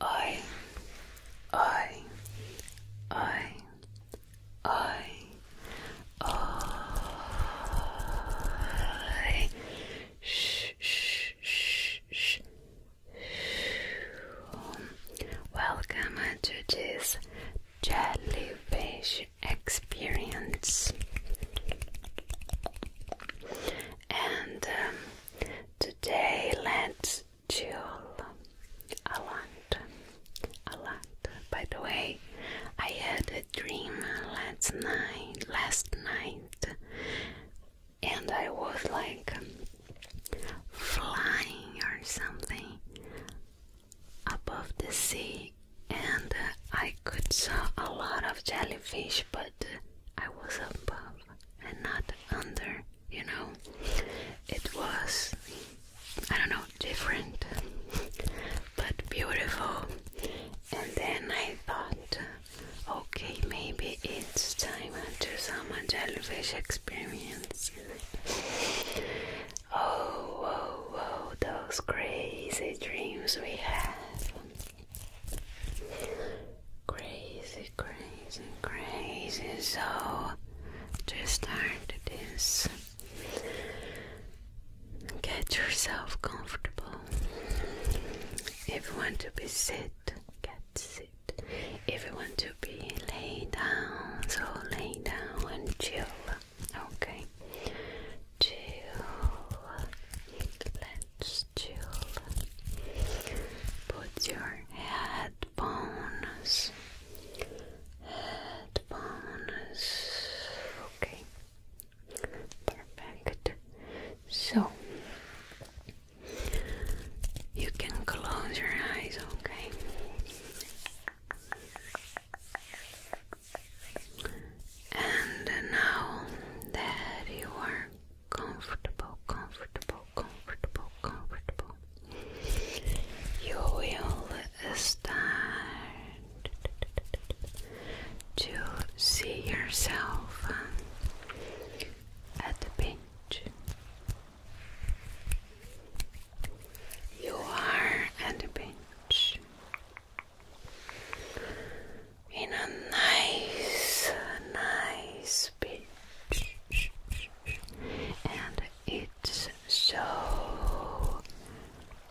I, I, I, I, I, shh, shh, shh, shh. Welcome to this jellyfish experience. And um, today, let's Jewel Alant. Alant. By the way, I had a dream last night last night and I was like flying or something above the sea and I could saw a lot of jellyfish but I was above and not under you know, it was, I don't know, different but beautiful. And then I thought, okay, maybe it's time to do some jellyfish experience. oh, whoa, oh, oh, whoa, those crazy dreams we have. Crazy, crazy, crazy. So, to start this, get yourself comfortable. If you want to be sit, get sit. If you want to be lay down, so lay down and chill. Okay, chill. Let's chill. Put your head headphones. Headphones. Okay. Perfect. So you can close your eyes, okay? And now that you are comfortable, comfortable, comfortable, comfortable. You will start to see yourself uh, at the beach. You are at the beach in a nice, nice beach and it's so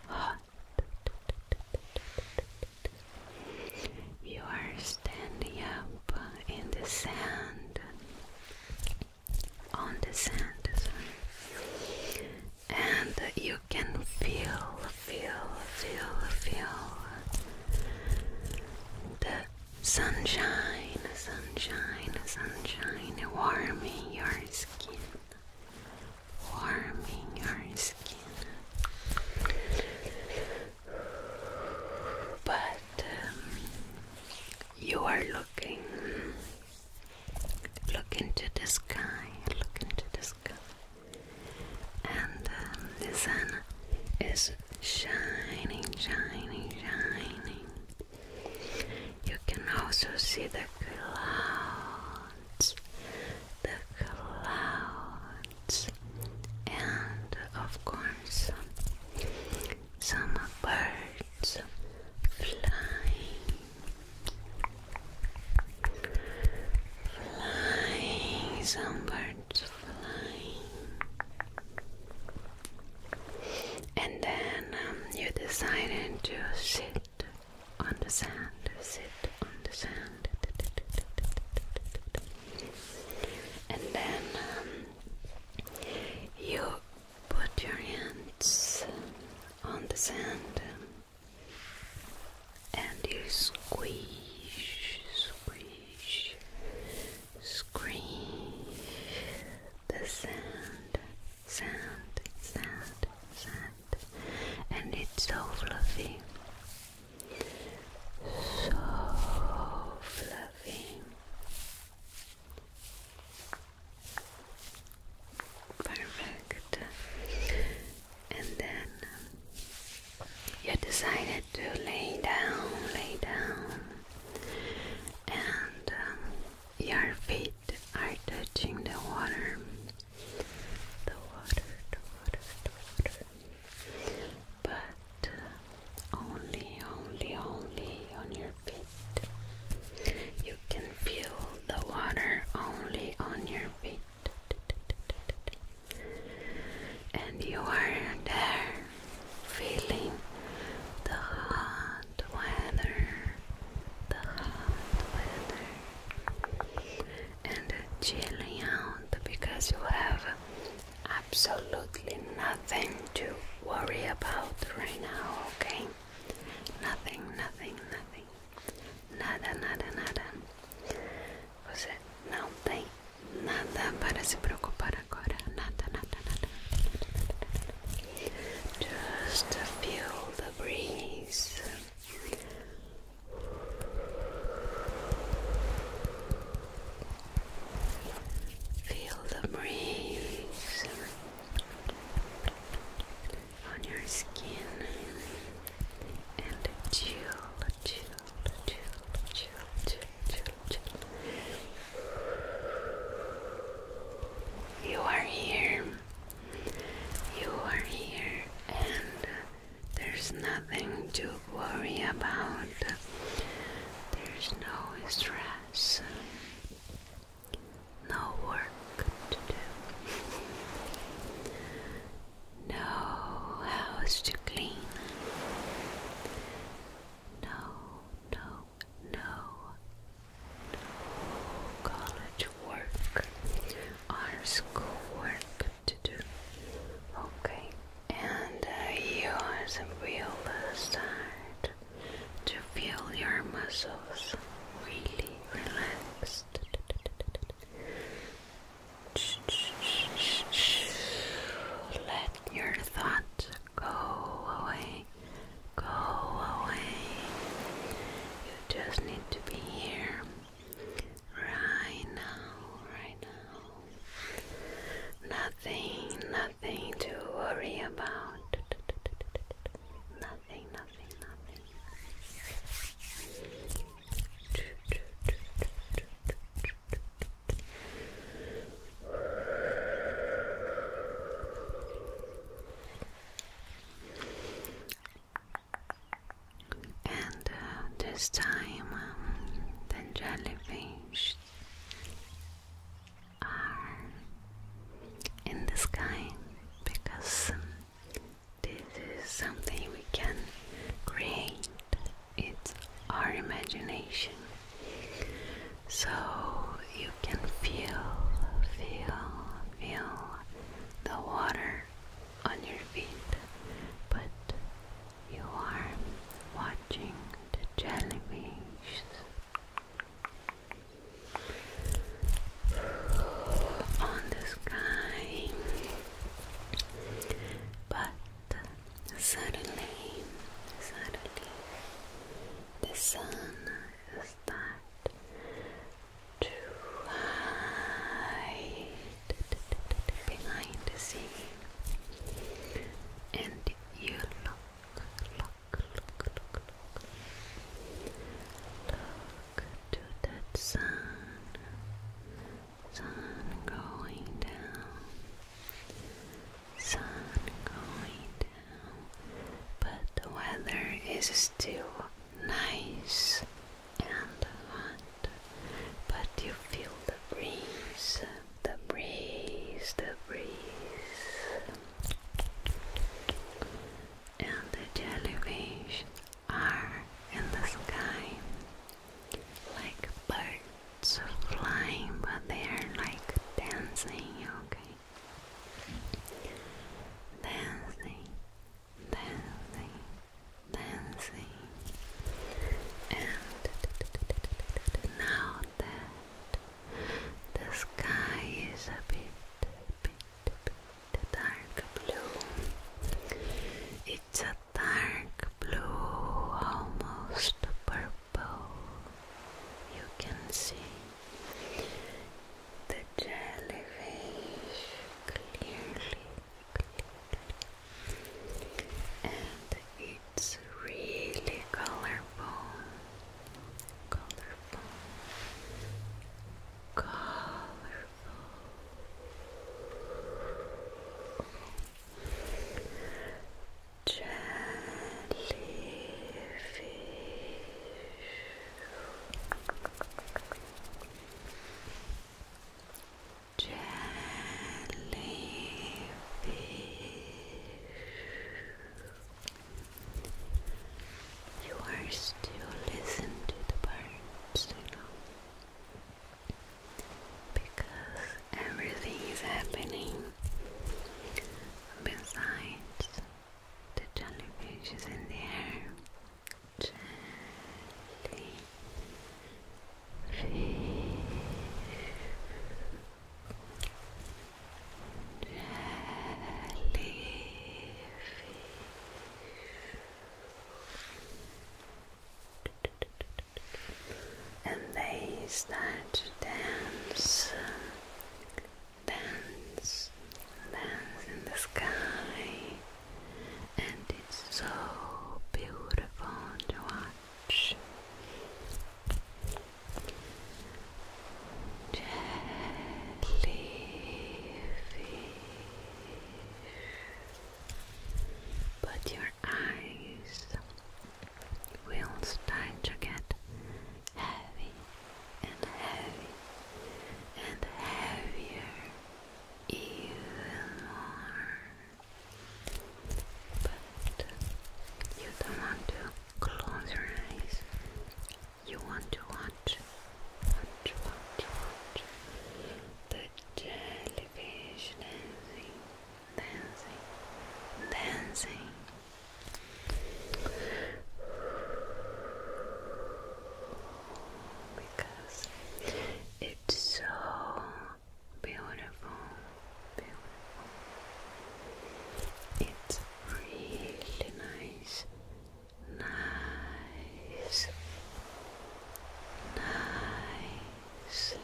hot. You are standing up in the sand, on the sand, and you can feel, feel, feel, feel the Sunshine, sunshine, sunshine, warming your skin, warming your skin. But um, you are looking, look into the sky, look into the sky, and um, the sun is shining, shining, shining. You can also see the clouds, the clouds, and of course, some birds flying, flying, some birds. And then um, you decided to sit on the sand, sit on the sand. And then um, you put your hands on the sand and you squeeze, squeeze, Squeeze the sand, sand, sand, sand, and it's so fluffy, so fluffy. Perfect. And then you decided to lay down, lay down and um, your feet are touching the water. The water, the water, the water. But uh, only, only, only on your feet. You can feel the water only on your feet. And you are there feeling the hot weather, the hot weather, and chilling out because you have absolutely nothing to worry about right now, okay? Nothing, nothing, nothing. Nada, nada, nada. Você não tem Nada para se preocupar agora. Just feel the breeze. Feel the breeze on your skin and chill, chill, chill, chill, chill, you are here. You are here, and there's nothing to worry about. There's no stress, no work to do, no house to clean, no, no, no, college work or school to do. Okay, and uh, use a real side to feel your muscles really relaxed. Let your thoughts Go away. Go away. You just need to be here. Right now, right now. Nothing, nothing to worry about. Nothing, nothing, nothing. And uh, this time, um, the jellyfish are in the sky because um, this is something we can create it's our imagination. So you can feel, feel, feel the water on your feet, but you are watching the jellyfish. On the sky, but suddenly, suddenly, the sun start to hide behind the sea, and you look, look, look, look, look, look to that sun, sun going down sun going down, but the weather is still nice and hot. But you feel the breeze, the breeze, the breeze. And the jellyfish are in the sky like birds so flying, but they are like dancing, okay? Dancing, dancing, dancing. And now the sky is a bit, bit, bit dark blue, it's a dark blue, almost purple you can see the jellyfish clearly, clearly. and it's really colorful, colorful, colorful. Jellyfish. Jellyfish. You are still listening to the birds, you know, because everything is happening besides the jellyfish is in the air. Jellyfish and they start to dance, dance, dance in the sky, and it's so beautiful to watch. Jellyfish. Put your eyes wheels starting to get heavy and heavy and heavier even more. But you don't want to close your eyes. You want to watch, watch, watch, watch the jellyfish dancing, dancing, dancing because it's so beautiful, beautiful. It's really nice, nice, nice.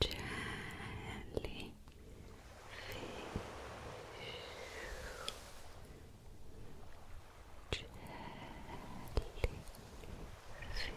Jellyfish. Jellyfish. Jellyfish.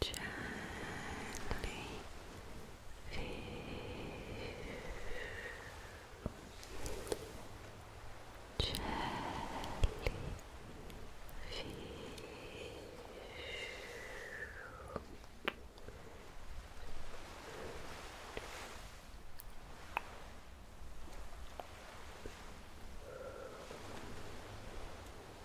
jellyfish jellyfish Jellyfish,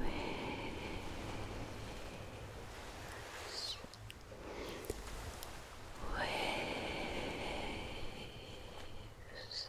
Waves. Waves. Waves.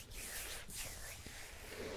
jellyfish jellyfish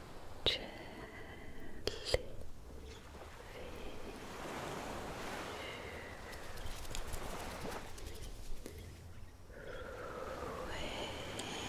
jellyfish wave wave wave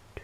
Jellyfish with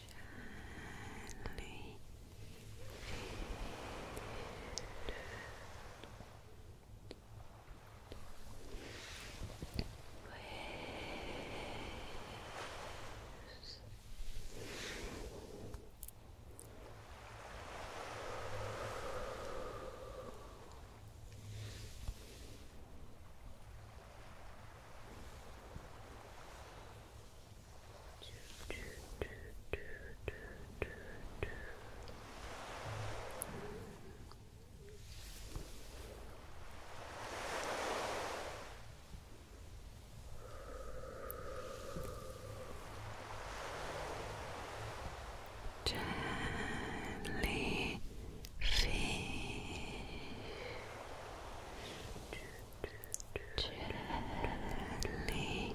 gently waves Waves Jellyfish. Gently Waves.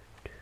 Waves.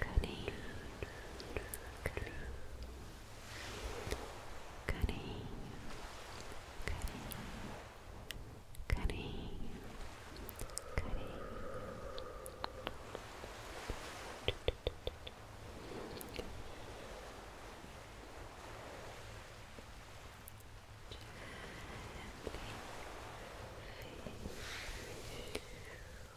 Cunning, cunning, cunning, cunning, cunning, cunning. Gently,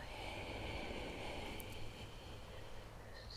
Waves.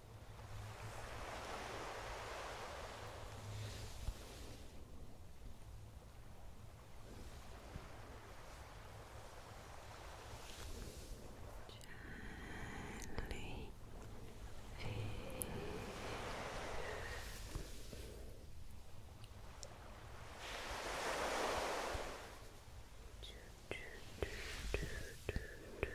Gently Choo, choo, choo, choo, choo. Waves.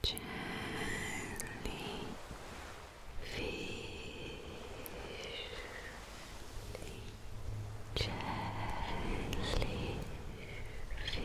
Jelly fish, jelly Waves.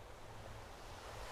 Waves.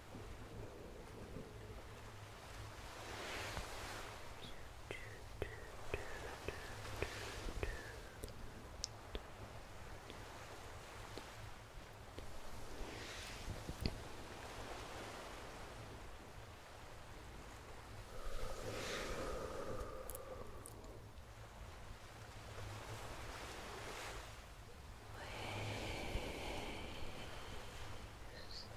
Waves.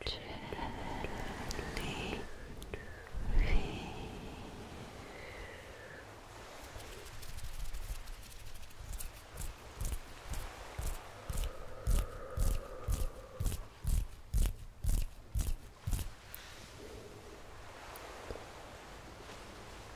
Gently breathe.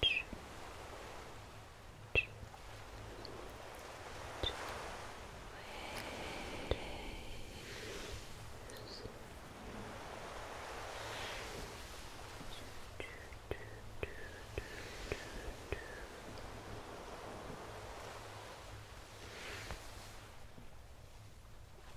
Two waves. Waves.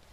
Waves.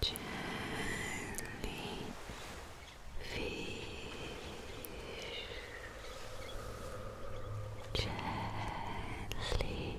Gently fish, gently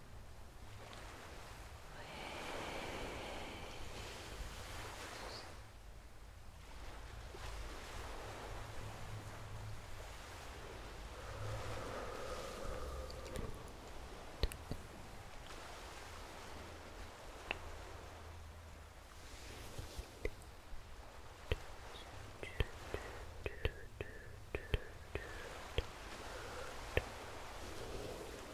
Waves.